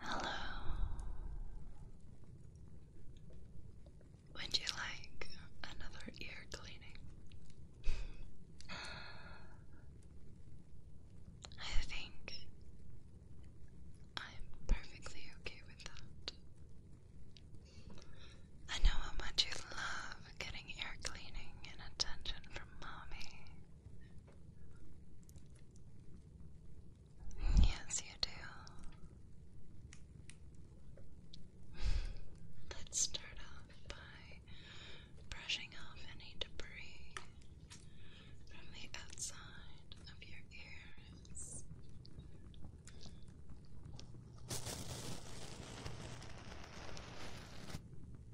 Hello. Would you like another ear cleaning? I think I'm perfectly okay with that. I know how much you love getting ear cleaning and attention from mommy. Yes, you do. Let's start off by brushing off any debris from the outside of your ears.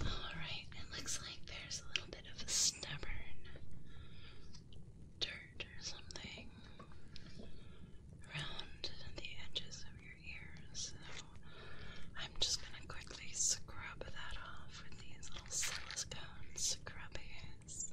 All right, it looks like there's a little bit of a stubborn dirt or something around the edges of your ears. So I'm just gonna quickly scrub that off with these little silicone scrubbies.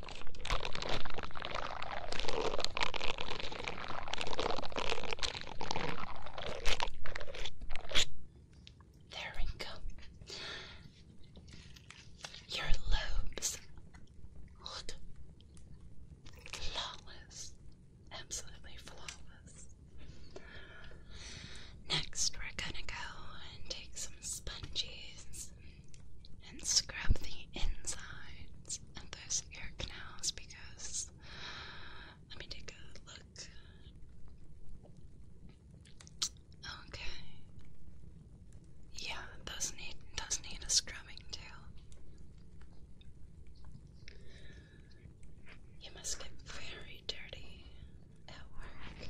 There we go. Your lobes flawless. Absolutely flawless. Next, we're gonna go and take some sponges and scrub the insides of those ear canals because let me take a look. Okay. Yeah, those need does need a scrubbing too. You must get very dirty at work.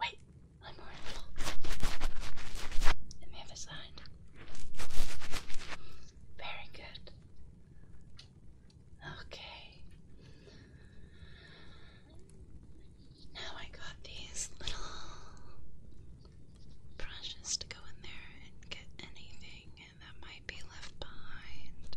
Wait, one more Let me have a Very good. Okay. Now I got these little brushes to go in there and get anything that might be left behind.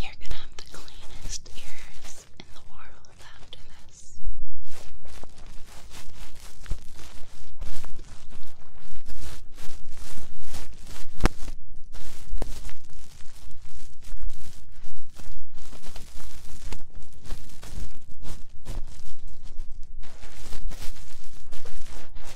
You're gonna have the cleanest ears in the world after this.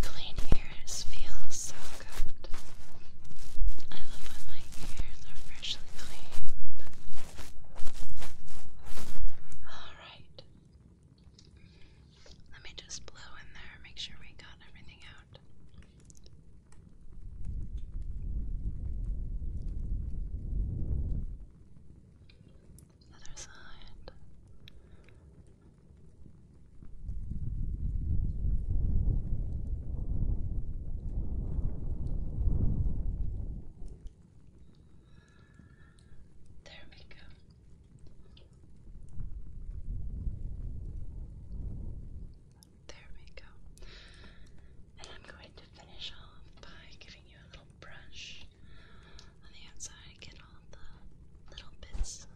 Clean ears feel so good. I love when my ears are freshly cleaned. Alright. Let me just blow in there, make sure we got everything out. Other side. There we go. There we go. And I'm going to finish off by giving you a little brush on the outside get all the little bits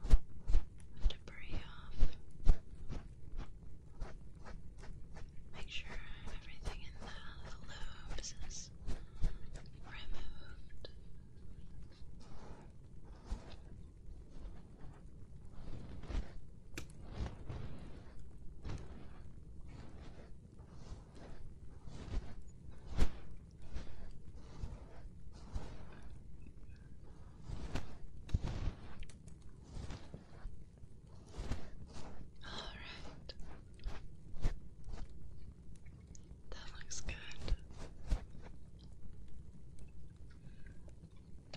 debris off. Make sure everything in the, lobes is removed. All right. That looks good.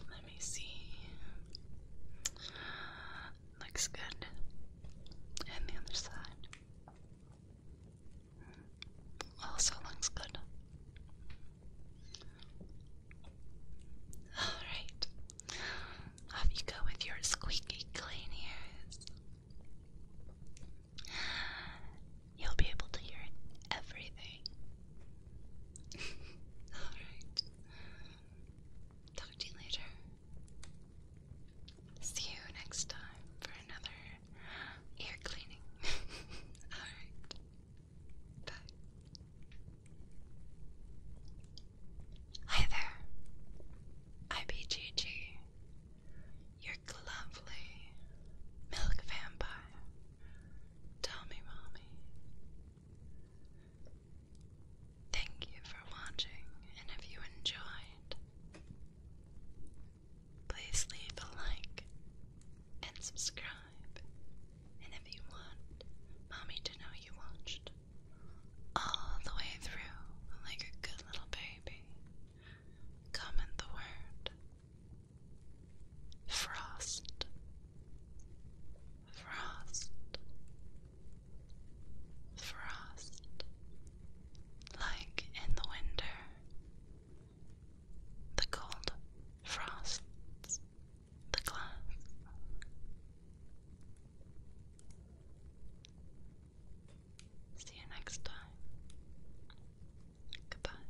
Let me see. Looks good. And the other side. Also looks good. Alright. Off you go with your squeaky clean ears. You'll be able to hear everything. Alright. Talk to you later. See you next time for another ear cleaning. Alright. Bye. Hi there. IBGG. Your lovely milk vampire. Tell me, mommy. Thank you for watching, and if you enjoyed, please leave a like and subscribe. And if you want mommy to know you watched all the way through like a good little baby, comment the word frost, frost, frost, like in the winter. The cold frosts the glass. See you next time. Goodbye.